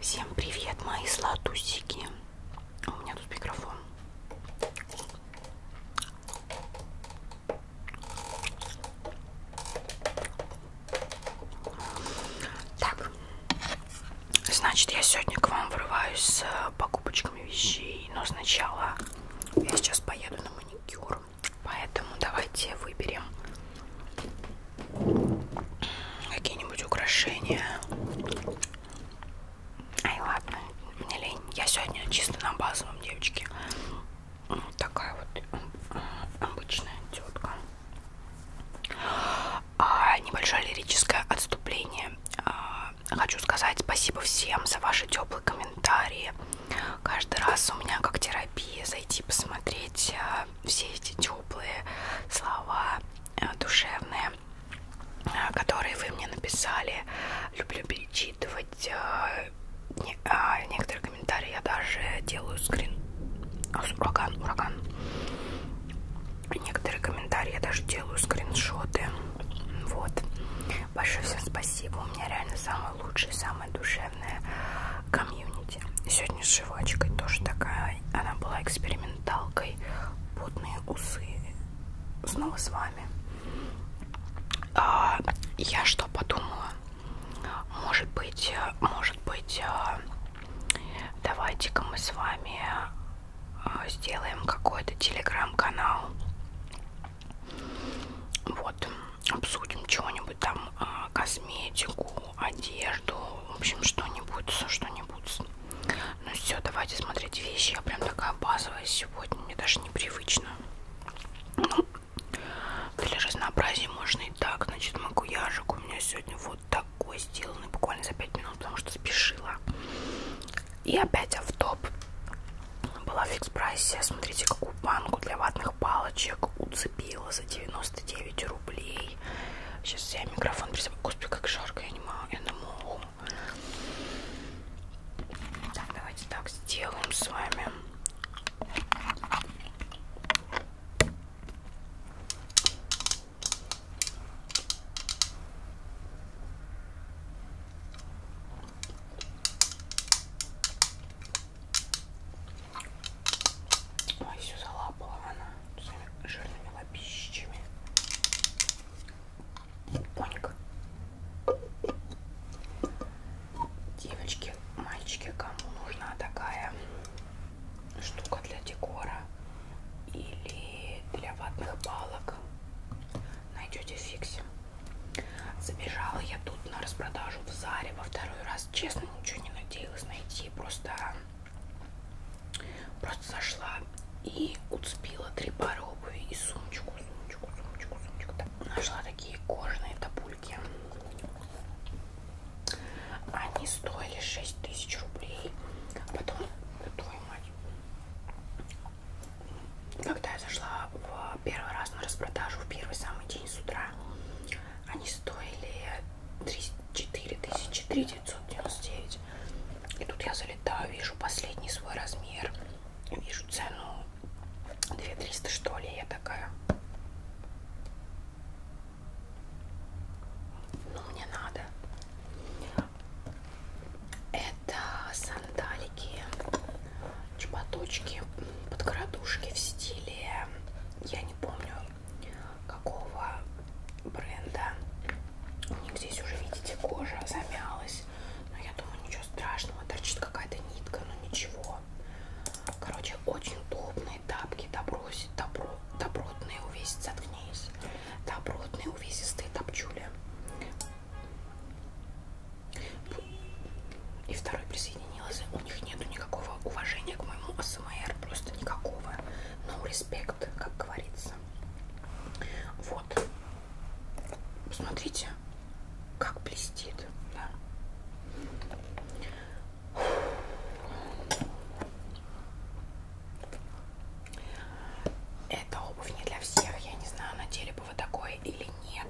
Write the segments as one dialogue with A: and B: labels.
A: Всем привет, мои сладусики. У меня тут микрофон. Так, значит, я сегодня к вам врываюсь с покупочками вещей, но сначала я сейчас поеду на маникюр. Поэтому давайте выберем какие-нибудь украшения. Ай, ладно, мне лень. Я сегодня чисто на базовом, девочки. Вот такая вот обычная тетка. А, небольшое лирическое отступление. А, хочу сказать спасибо всем за ваши теплые комментарии, Каждый раз у меня как терапия зайти посмотреть э, все эти теплые слова э, душевные, э, которые вы мне написали. Люблю перечитывать. А, некоторые комментарии я даже делаю скрин. А, ураган, ураган. Некоторые комментарии я даже делаю скриншоты. Вот. Большое всем спасибо. У меня реально самое самое лучшее, самое душевное комьюнити. Сегодня с Живочкой тоже такая, она была эксперименталкой, потные усы. Снова с вами. А, я что подумала? Может быть, э, может быть, э, давайте-ка мы с вами э, сделаем какой-то телеграм-канал вот, обсудим чего-нибудь там, а, косметику, одежду, в общем, что-нибудь, что-нибудь. Ну все, давайте смотреть вещи. Я прям такая базовая сегодня, мне даже непривычно. Ну, для разнообразия можно и так. Значит, макуяжик у меня сегодня вот такой сделанный, буквально за 5 минут, потому что спешила. И опять автоп. Была в фикс прайсе. Смотрите, какую банку для ватных палочек уцепила за 99 рублей. Сейчас я микрофон присыпаю. Господи, как жарко, я не могу. Я на муху. Так, давайте так сделаем с вами. Ой, все залапала она своими жирными лапищами. Коник. Девочки, мальчики, кому нужна такая штука для декора или для ватных палок, найдете фиксим. Забежала я тут на распродажу в Заре во второй раз. Честно, ничего не надеялась найти. Просто, просто зашла и уцепила три пары обуви и сумочку, сумочку, сумочку, сумочку. Так, нашла такие кожаные топульки. Они стоили 6 тысяч рублей. А потом, твою мать, когда я зашла в первый раз на распродажу, в первый самый день с утра, они стоили 4 999. И тут я залетаю, вижу последний свой размер, вижу цену 2300 что ли, я такая. Ну, мне надо. Это сандалики, чпаточки, подкрадушки в стиле, я не помню какого бренда. У них здесь уже, видите, кожа замялась. Но я думаю, ничего страшного, торчит какая-то нитка, но ничего. Короче, очень удобные тапки, добротные, добротные увесить, заткнись добротные увесистые топчули. И второй присоединился. У них нету никакого уважения к моему АСМР, просто никакого. No респект, как говорится. Вот. Посмотрите, как блестит. Да. Эта обувь не для всех. Я не знаю, надели бы вы такое или нет.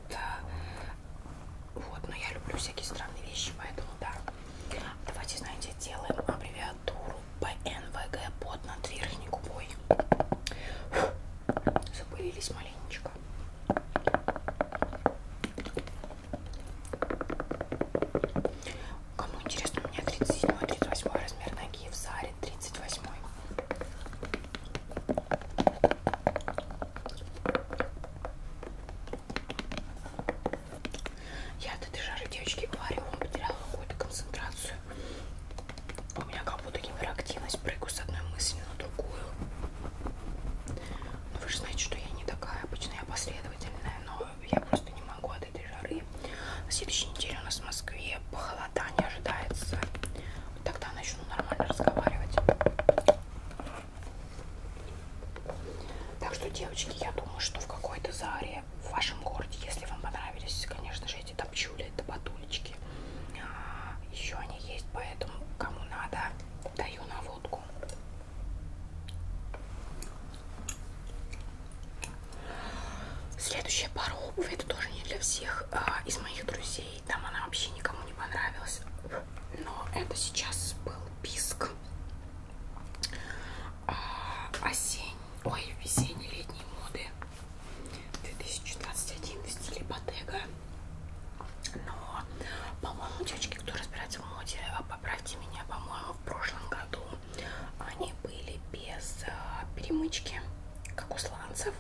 A: Вот, но я люблю всякие странные вещи, поэтому да. Давайте, знаете, делаем аббревиатуру ПНВГ под над верхней губой. Запылились маленечко. Кому интересно, у меня 37-38 размер ноги в Заре 38. Я от этой жары, девочки, говорю, он потерял какую-то концентрацию. У меня как будто гиперактивность, прыгаю с одной мысли на другую. Но ну, вы же знаете, что я не такая, обычно я последовательная, но я просто не могу от этой жары. На следующей неделе у нас в Москве похолодание ожидается. Вот тогда начну нормально разговаривать. Так что, девочки, я думаю, что в какой-то заре в вашем городе, если вам понравились, конечно же, эти топчули, это батулечки. А, еще они есть, поэтому кому надо, даю наводку. Следующая пара обуви, это тоже не для всех а, из моих друзей. Там она вообще никому не понравилась. Но это сейчас был писк. А, осень, ой, весенне-летней моды 2021 в стиле Bottega. Но, по-моему, девочки, кто разбирается в моде, поправьте меня, по-моему, в прошлом году они были без э, перемычки, как у сланцев.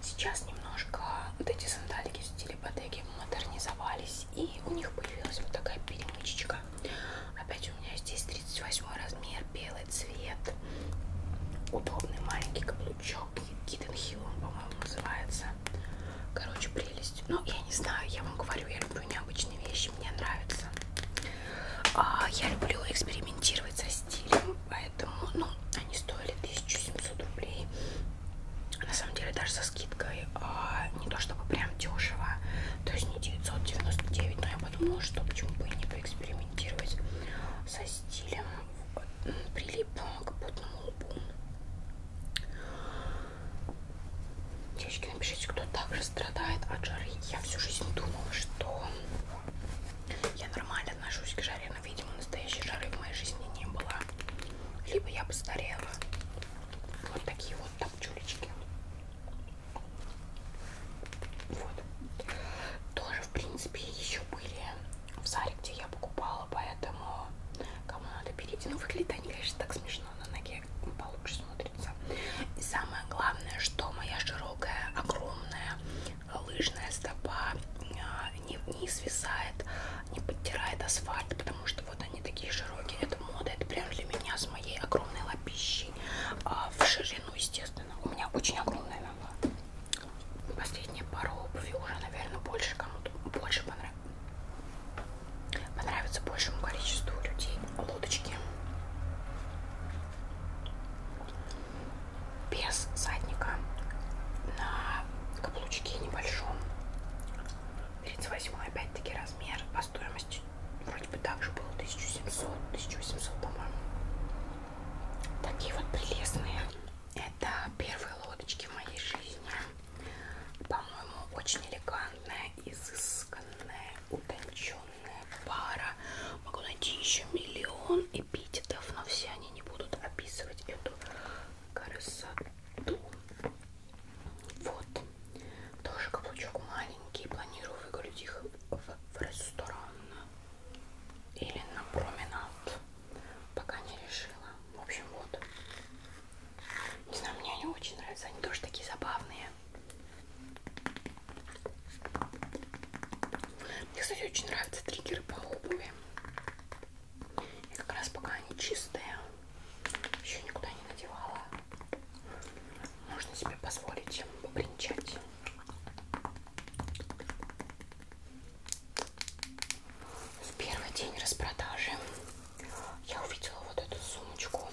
A: Сейчас немножко вот эти сандалики с телепатеки модернизовались, и у них появилась вот такая перемычечка. Опять у меня здесь 38 размер, белый цвет, удобный маленький каблучок, Hidden Hill он, по-моему, называется. Короче, прелесть. Ну, я не знаю, я вам говорю, я люблю необычные вещи, мне нравится. А, я люблю экспериментировать со стилем, поэтому, ну, они стоили 1700 рублей. На самом деле даже со скидкой а, не то чтобы прям дешево, то есть не 999, но я подумала, что почему бы и не поэкспериментировать со стилем. Прилип к потному лбу. Девочки, напишите, кто также страдает от жары. Я всю жизнь думала, что я нормально отношусь к жаре, но, видимо, настоящей жары в моей жизни не было. Либо я постарела. Вот такие вот тапчулечки. Вот. Тоже, в принципе, еще были в Заре, где я покупала, поэтому кому надо берите. Ну, выглядят они, конечно, так смешно но на ноге получше смотрится. И самое главное, что моя широкая, огромная лыжная стопа а, не, не свисает, не подтирает асфальт, потому что вот они такие широкие. Это мода, это прям для меня с моей огромной лапищей а в ширину, естественно. У меня очень огромная нога. Последние пару обуви уже, наверное, больше кому-то больше понравилось камеры понравится большему количеству людей лодочки без задника на каблучке небольшом 38 опять-таки размер по стоимости вроде бы также было 1700 1800 по-моему такие вот прелестные это первые лодочки в моей жизни по-моему, очень элегантная, изысканная, утонченная пара. Могу найти еще миллион эпитетов, но все они не будут описывать эту красоту. Вот. Тоже каблучок маленький. Планирую выгулять их в, в ресторан или на променад. Пока не решила. В общем, вот. Не знаю, мне они очень нравятся, они тоже такие забавные. Мне, кстати, очень нравятся триггеры по обуви. И как раз пока они чистые, еще никуда не надевала. Можно себе позволить попринчать. В первый день распродажи я увидела вот эту сумочку,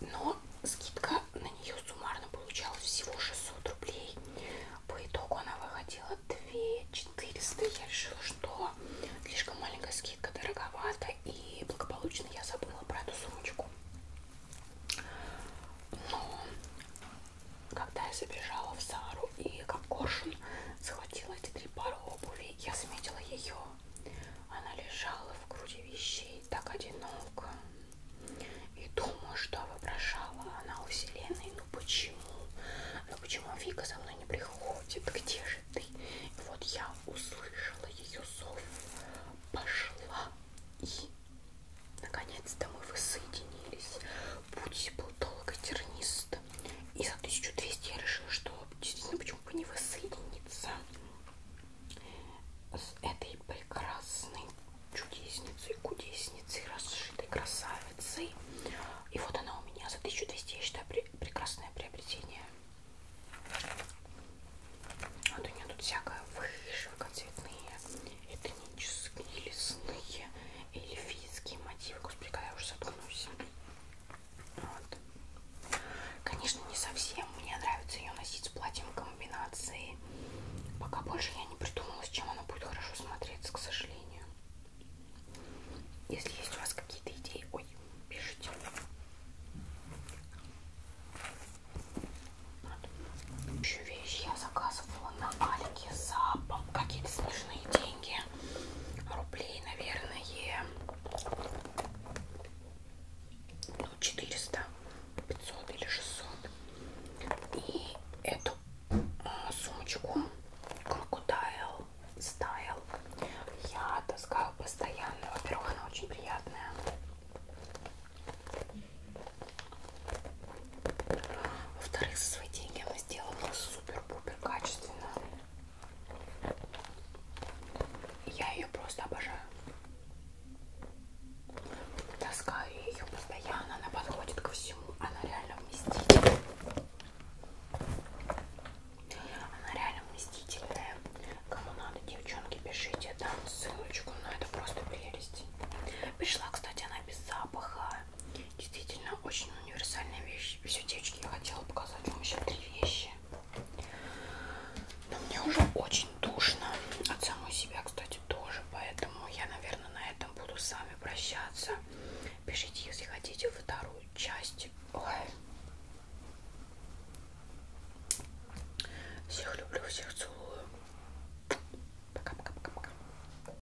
A: но скидка на нее суммарно получалась всего 600 рублей. По итогу она выходила 2400. Я решила, что слишком маленькая скидка, дороговато, и благополучно я забыла про эту сумочку. Но когда я забежала в Сару и как коршун Схватила эти три пары обуви. Я заметила ее. Она лежала в груди вещей так одиноко. И думаю, что вопрошала она у вселенной. Ну почему? Ну почему Вика со мной не приходит? Где же ты? И вот я услышала ее зов. Пошла и... Наконец-то мы воссоединились. Путь был долго тернист, 90 и за 1200 я решила, что действительно почему бы не воссоединиться с этой прекрасной чудесницей, кудесницей, расшитой красавицей. И вот она у меня за 1200, я считаю, при прекрасное приобретение. Вот у нее тут всякое вышивка, цветные, этнические, лесные, эльфийские мотивы. Господи, когда я уже заткнусь. Вот. Конечно, не совсем. Мне нравится ее носить с платьем комбинации. Пока больше я не придумала, с чем она будет хорошо смотреться, к сожалению. Если есть у вас какие-то идеи, ой, пишите. Вот. Еще вещи я заказывала на Алике за какие-то смешные деньги рублей, наверное, ну, 400, 500 или 600. И эту а, сумочку Crocodile Style я таскаю постоянно. Во-первых, она очень приятная. Во-вторых, за свои деньги она сделала супер-пупер супер качественная. Я ее просто обожаю. Таскаю ее постоянно, она подходит ко всему, она реально вместительная. Она реально вместительная. Кому надо, девчонки, пишите, дам ссылочку, но ну, это просто прелесть. Пришла, кстати, она без запаха, такая действительно очень универсальная вещь. Все, девочки, я хотела показать вам еще три вещи. Но мне уже очень душно от самой себя, кстати, тоже. Поэтому я, наверное, на этом буду с вами прощаться. Пишите, если хотите, вторую часть. Ой. Всех люблю, всех целую. Пока-пока-пока-пока.